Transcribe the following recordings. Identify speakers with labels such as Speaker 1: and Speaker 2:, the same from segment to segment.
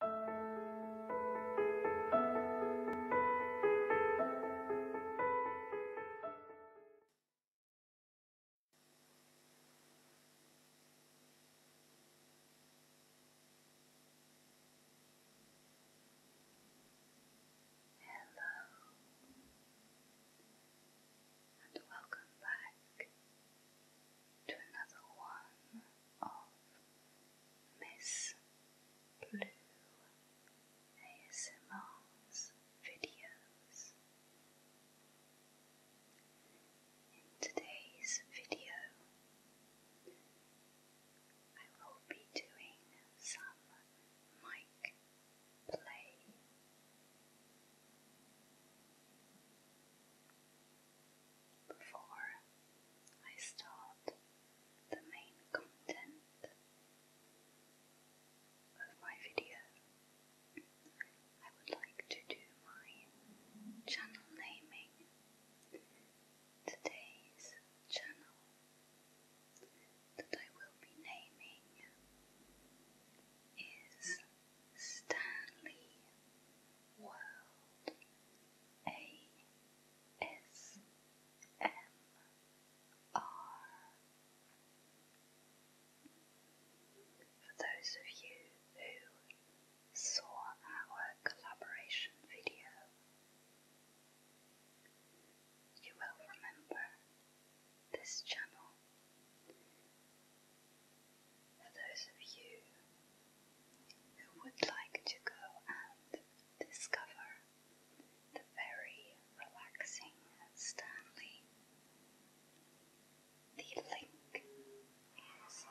Speaker 1: Hello and welcome back to another one of Miss Blue ASMR's videos. In today's video, I will be doing some mic play before I start the main content of my video. I would like to do my channel naming. Today's channel that I will be naming is Stanley World ASMR. For those of you who saw our collaboration video, you will remember this channel for those of you who would like to go and discover the very relaxing Stanley, the link is.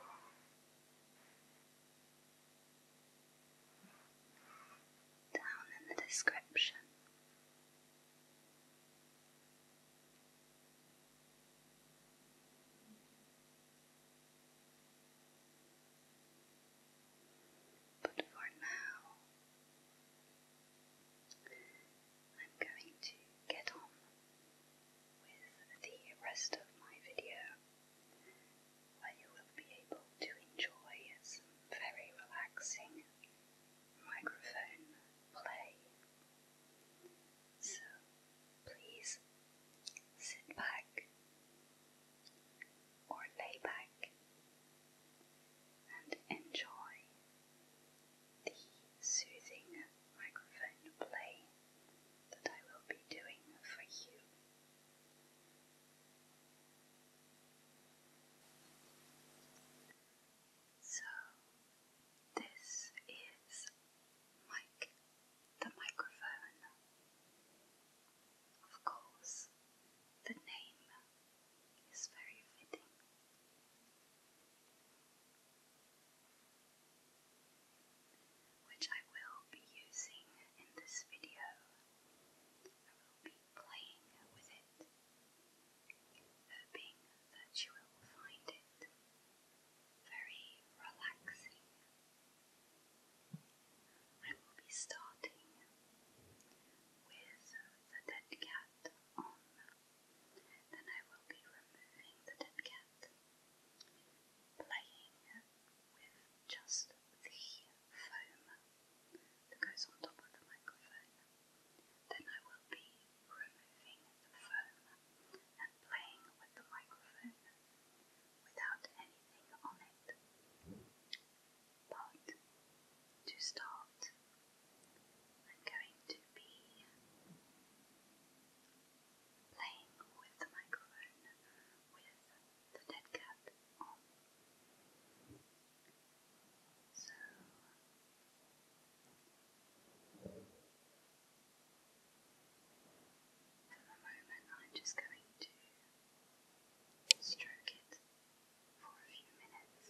Speaker 1: Down in the description. But for now, I'm going to get on with the rest of my video, where you will be able to enjoy some very relaxing microphone play. So please sit back or lay back and enjoy the soothing microphone play that I will be doing for you. So, this is Mike the microphone, of course, the name is very fitting. Which I will be using in this video. I will be playing with it, hoping that you will find it very relaxing. I will be starting with the dead cat on, then I will be removing the dead cat, playing with just the foam that goes on top of the microphone. Then I will be removing the foam playing with the microphone without anything on it. But to start, I'm going to be playing with the microphone with the dead cat on. So for the moment, I'm just going to stroke it for a few minutes.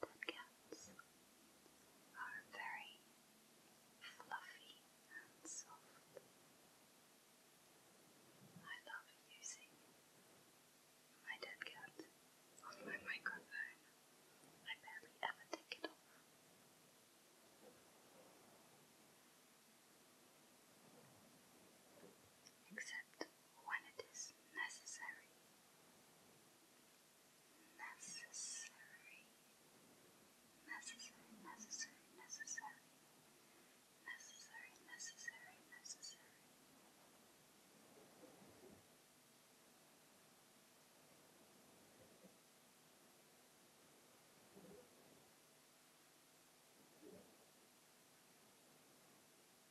Speaker 1: Podcasts are very fluffy and soft. I love using my dead on my microphone. I barely ever take it off. Except when it is necessary. Necessary. Necessary, necessary, necessary. Necessary, necessary, necessary.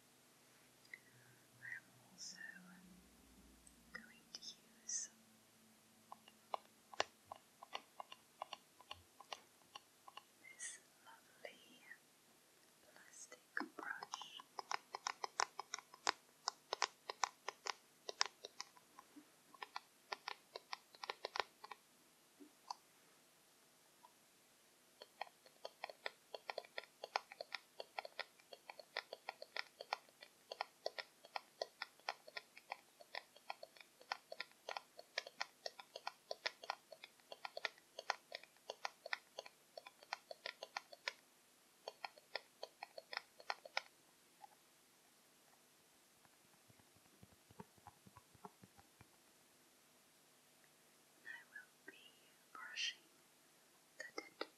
Speaker 1: I am also going to use this lovely plastic brush. And I will be brushing the dental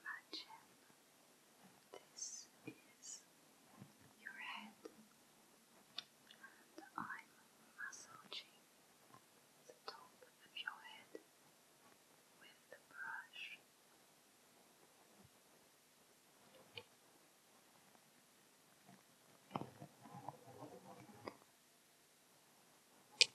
Speaker 1: Imagine this is your head, and I'm massaging the top of your head with the brush.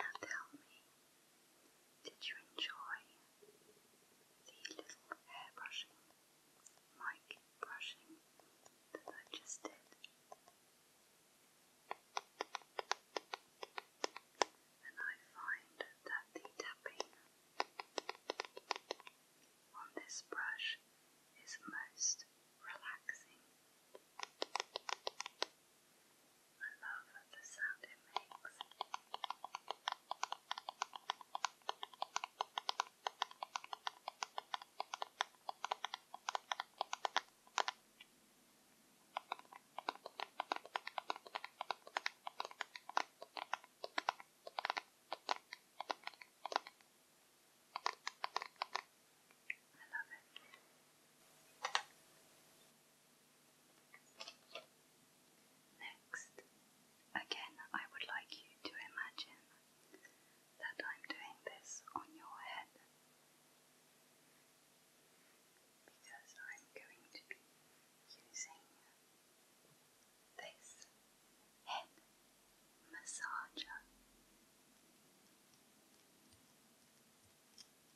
Speaker 1: Now tell me, did you enjoy the little hair brushing, mic brushing that I just did? And I find that the tapping on this brush is most relaxing. I love the sound it makes. I Next, again, I would like you to imagine that I'm doing this on your head because I'm going to be using this head massager.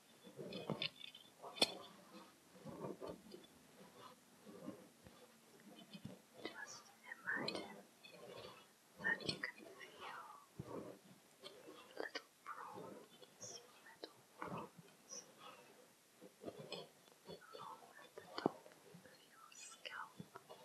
Speaker 1: Just imagine that you can feel little prongs, little prongs along at the top of your scalp.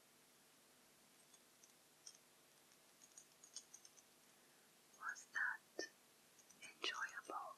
Speaker 1: Was that enjoyable?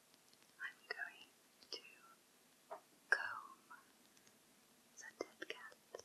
Speaker 1: I'm going to comb the dead cat.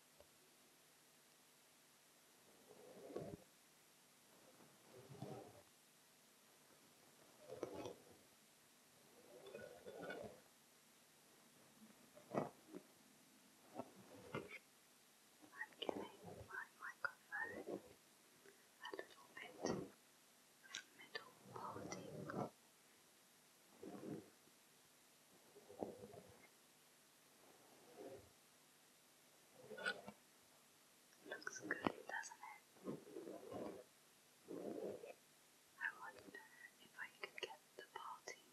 Speaker 1: I'm giving my microphone a little bit of middle parting. Looks good, doesn't it? I wonder if I could get the parting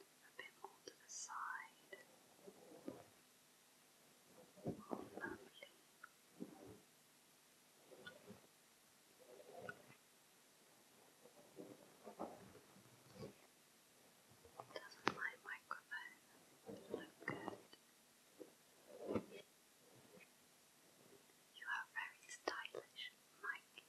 Speaker 1: a bit more to the side. Oh, lovely. Doesn't my microphone look good? You are very stylish, Mike.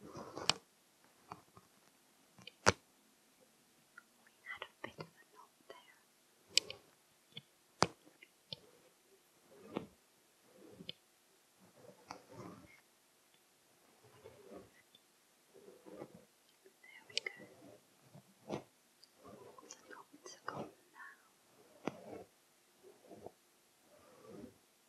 Speaker 1: We had a bit of a knot there. There we go. The knots are gone now.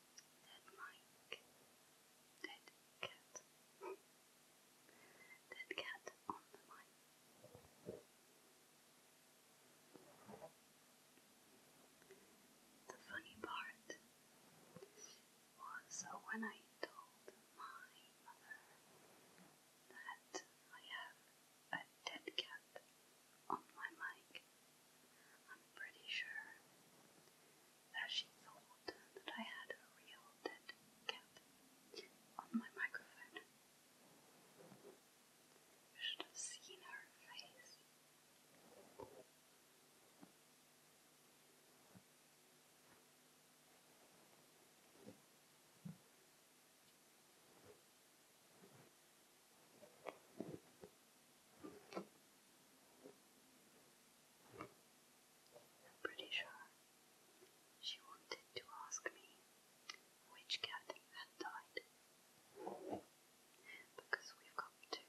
Speaker 1: dead Mike, dead cat, dead cat on the mic. The funny part was when I told my mother that I have a dead cat on my mic. I'm pretty sure that she thought that I had a real dead cat on my microphone. You should have seen her face. I'm pretty sure she wanted to ask me which cat had died. Because we've got two.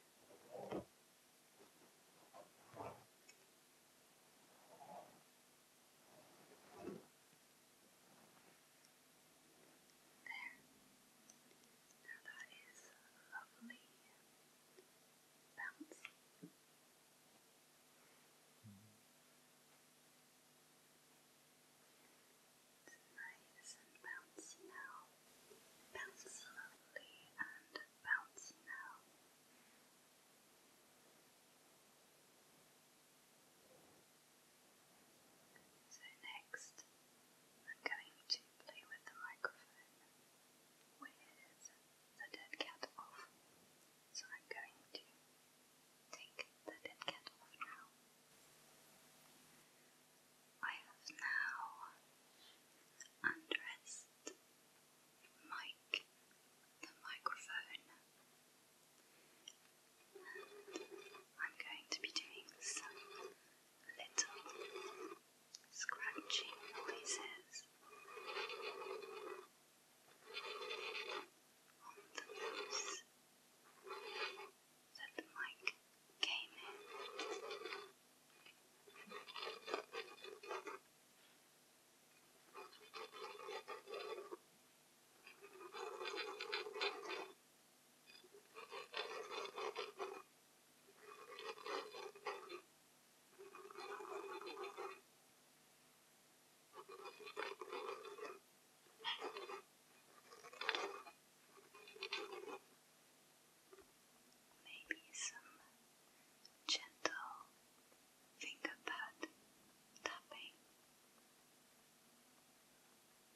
Speaker 1: There. Now that is lovely bounce. It's nice and bouncy now. Bouncy and bouncy now. So next I'm going to cheaply with the microphone. Where's the dead cat off? So I'm going to take the dead cat off now. I have now undressed Mike, the microphone. I'm going to be doing some little scratching noises on the loose that Mike came in. Maybe some gentle finger tapping.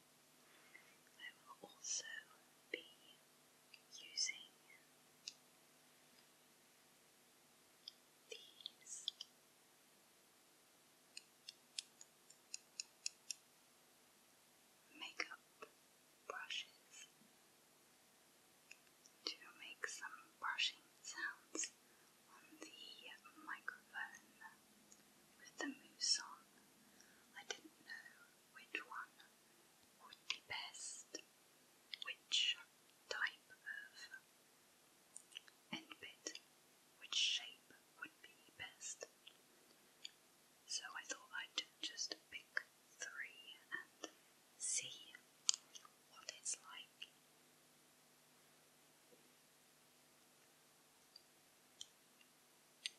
Speaker 1: I will also be using these. Makeup brushes to make some brushing sounds on the microphone with the moose on. I didn't know which one would be best, which type of end which shape would be best. So I thought I'd just pick three and see what it's like.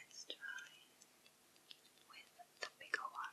Speaker 1: Let's try with the bigger one.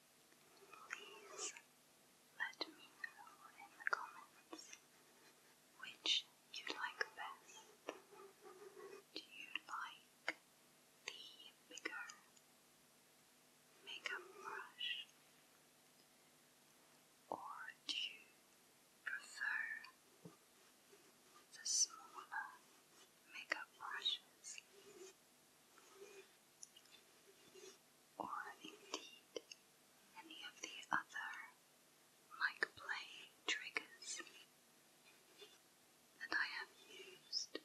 Speaker 1: Please let me know in the comments which you like best. Do you like the bigger makeup brush? Or do you prefer the smaller makeup brushes? or indeed any of the other mic play triggers that I have used.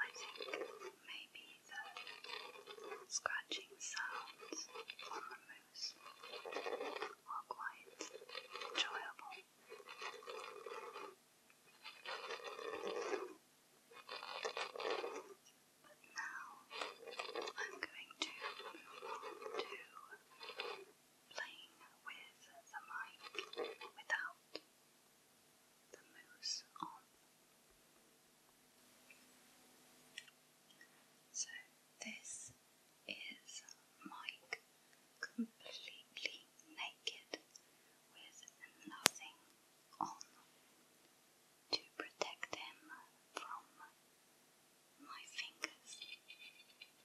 Speaker 1: I think maybe the scratching sounds shows are quite enjoyable. But now I'm going to move on to playing with the mic without the moose on. So, this is Mike completely naked with nothing on to protect him from my fingers.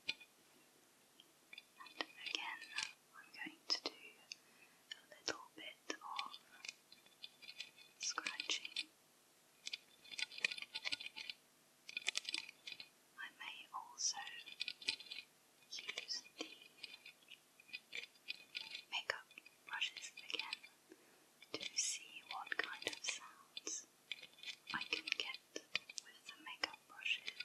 Speaker 1: And again, I'm going to do a little bit of scratching. I may also use the makeup brushes again to see what kind of sounds I can get with the makeup brushes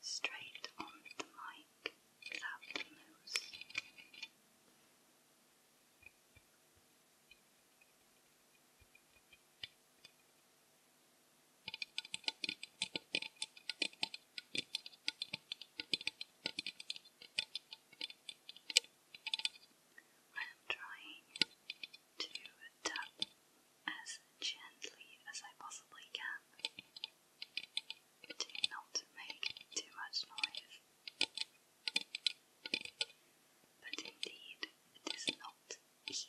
Speaker 1: straight on the mic without the moose. I am trying to tap as gently as I possibly can to not make too much noise. But it is not easy.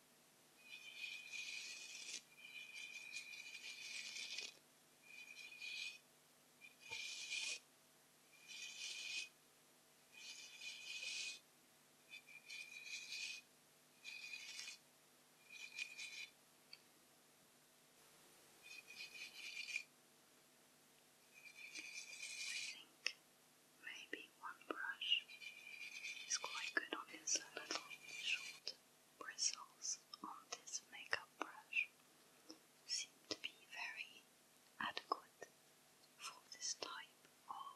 Speaker 1: think maybe one brush is quite good on this little short bristles on this makeup brush seem to be very adequate for this type of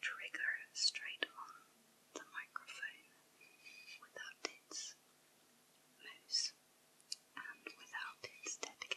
Speaker 1: trigger straight on the microphone without its mouse and without its dead cat.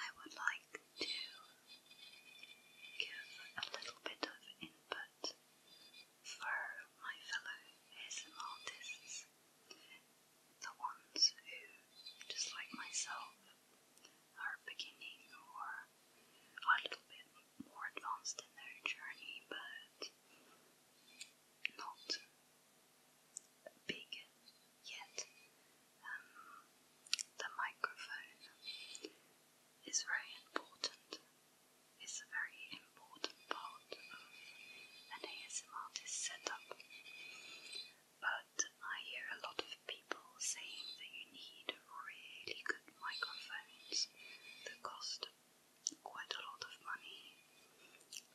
Speaker 1: I would like to give a little bit of input for my fellow ASMR the ones who, just like myself, are beginning or a little bit more advanced in their journey, but not big yet. Um, the microphone is very important. It's a very important part and an ASMR artist setup. But I hear a lot of people saying that you need really good microphones that cost quite a lot of money,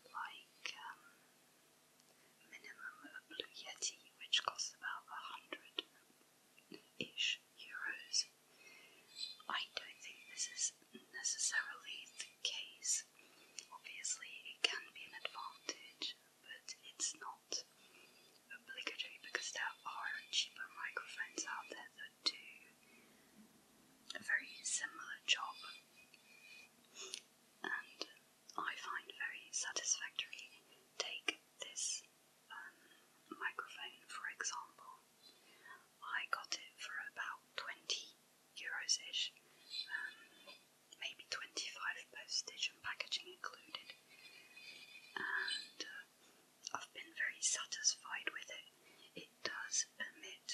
Speaker 1: like um, minimum a Blue Yeti, which costs about a hundred ish euros. I don't think this is necessarily the case this. Obviously, it can be an advantage, but it's not obligatory because there are cheaper microphones out there that do a very similar job and I find very satisfactory. Take this um, microphone for example. I got it for about 20 euros ish, um, maybe 25 postage and packaging included. And uh, I've been very satisfied with it. It does emit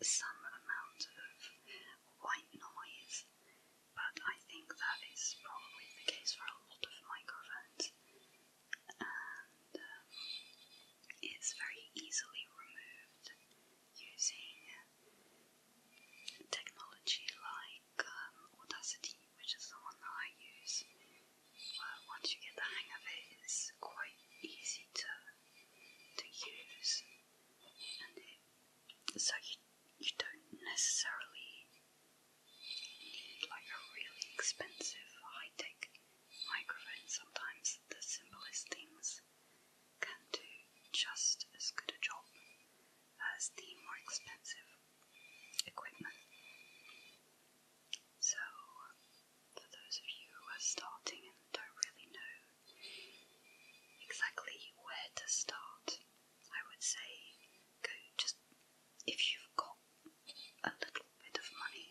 Speaker 1: some amount of white noise, but I think that is probably the case for a lot of microphones. Um, it's very easily removed using technology like um, Audacity, which is the one that I use. Well, once you get the hang of it, it's quite easy to to use, and so you you don't necessarily need like a really expensive high tech microphone. Sometimes the simplest things can do just as good a job as the more expensive equipment. So, for those of you who are starting and don't really know exactly where to start, I would say go just if you've got a little bit of money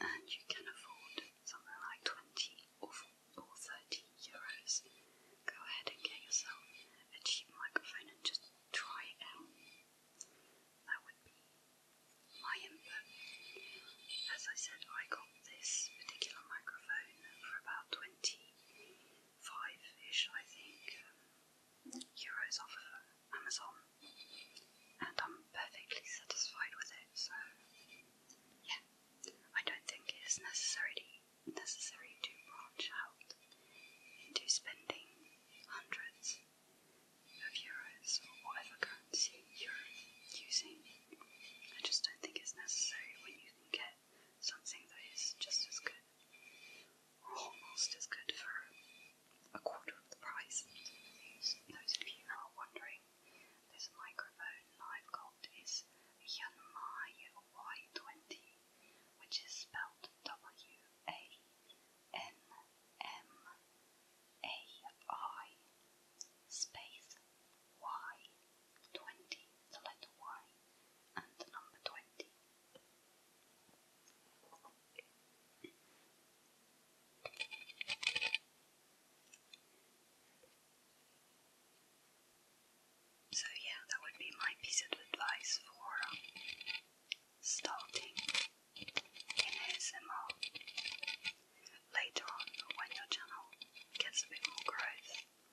Speaker 1: and you can afford something like 20 or 40 or 30 euros, go ahead and get yourself a cheap microphone and just try it out. That would be my input. As I said, I got this particular microphone for about 25-ish, I think, um, euros off of Amazon, and I'm perfectly satisfied with it, so yeah. I don't think it is necessary necessary to branch out into spending hundreds of euros or whatever currency you're using. I just don't think it's necessary when you can get something that is just as good or almost as good for a quarter of the price. Those of you who are wondering this microphone I've got is a Y20, which is spelled W A N M A I space Y 20, the letter Y, and the number 20. So, yeah, that would be my piece of advice for um, starting in ASMR. Later on, when your channel gets a bit more growth,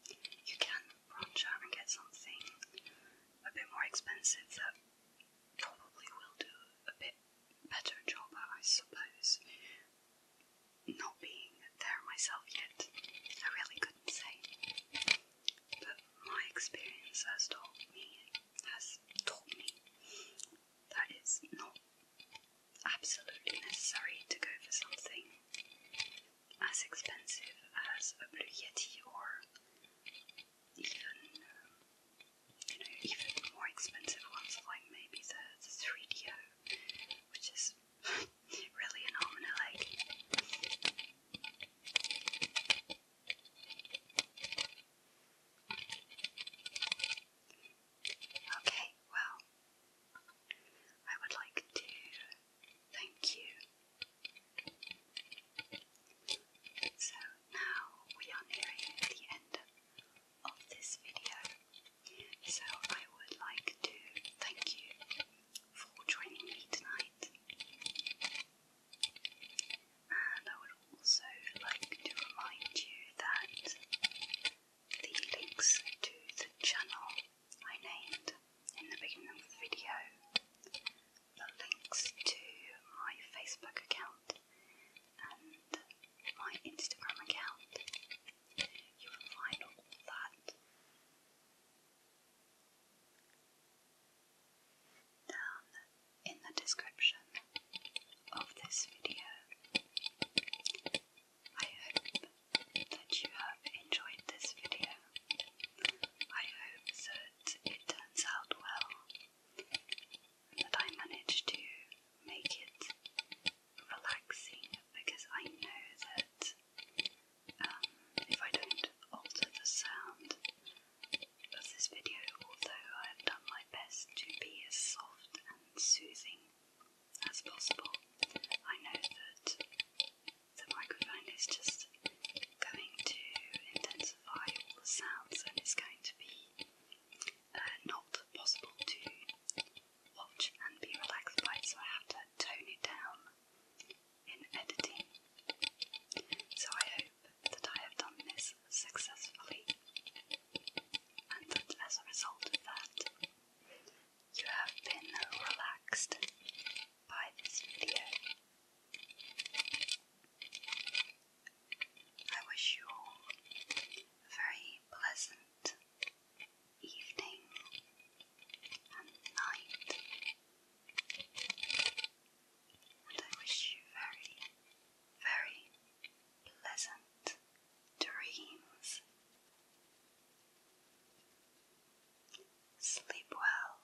Speaker 1: you can branch out and get something a bit more expensive that probably will do a bit better job, I suppose not being there myself yet, I really couldn't say. But my experience has taught me, has taught me that it's not absolutely necessary to go for something as expensive as a Blue Yeti or even, you know, even more expensive ones like maybe the, the 3 d which is really annoying. okay, well, I would like to thank you. So now we are nearing the end of this video. So I would like to thank you for joining me tonight. And I would also like to remind you that the links to the channel I named in the beginning of the video, the links to my Facebook account and my Instagram account you will find all that. Down in the description of this video. I hope that you have enjoyed this video. I hope that it turns out well, that I managed to make it relaxing because I know that um, if I don't alter the sound of this video, although I have done my best to be as soft and soothing as possible, I know that the microphone is just going to intensify all the sounds and it's going to be uh, not possible to watch and be relaxed by, so I have to tone it down in editing. So I hope that I have done this successfully, and that as a result of that, you have been relaxed by this video. I wish you all very pleasant evening and night. And I wish you very, very pleasant dreams. Sleep well.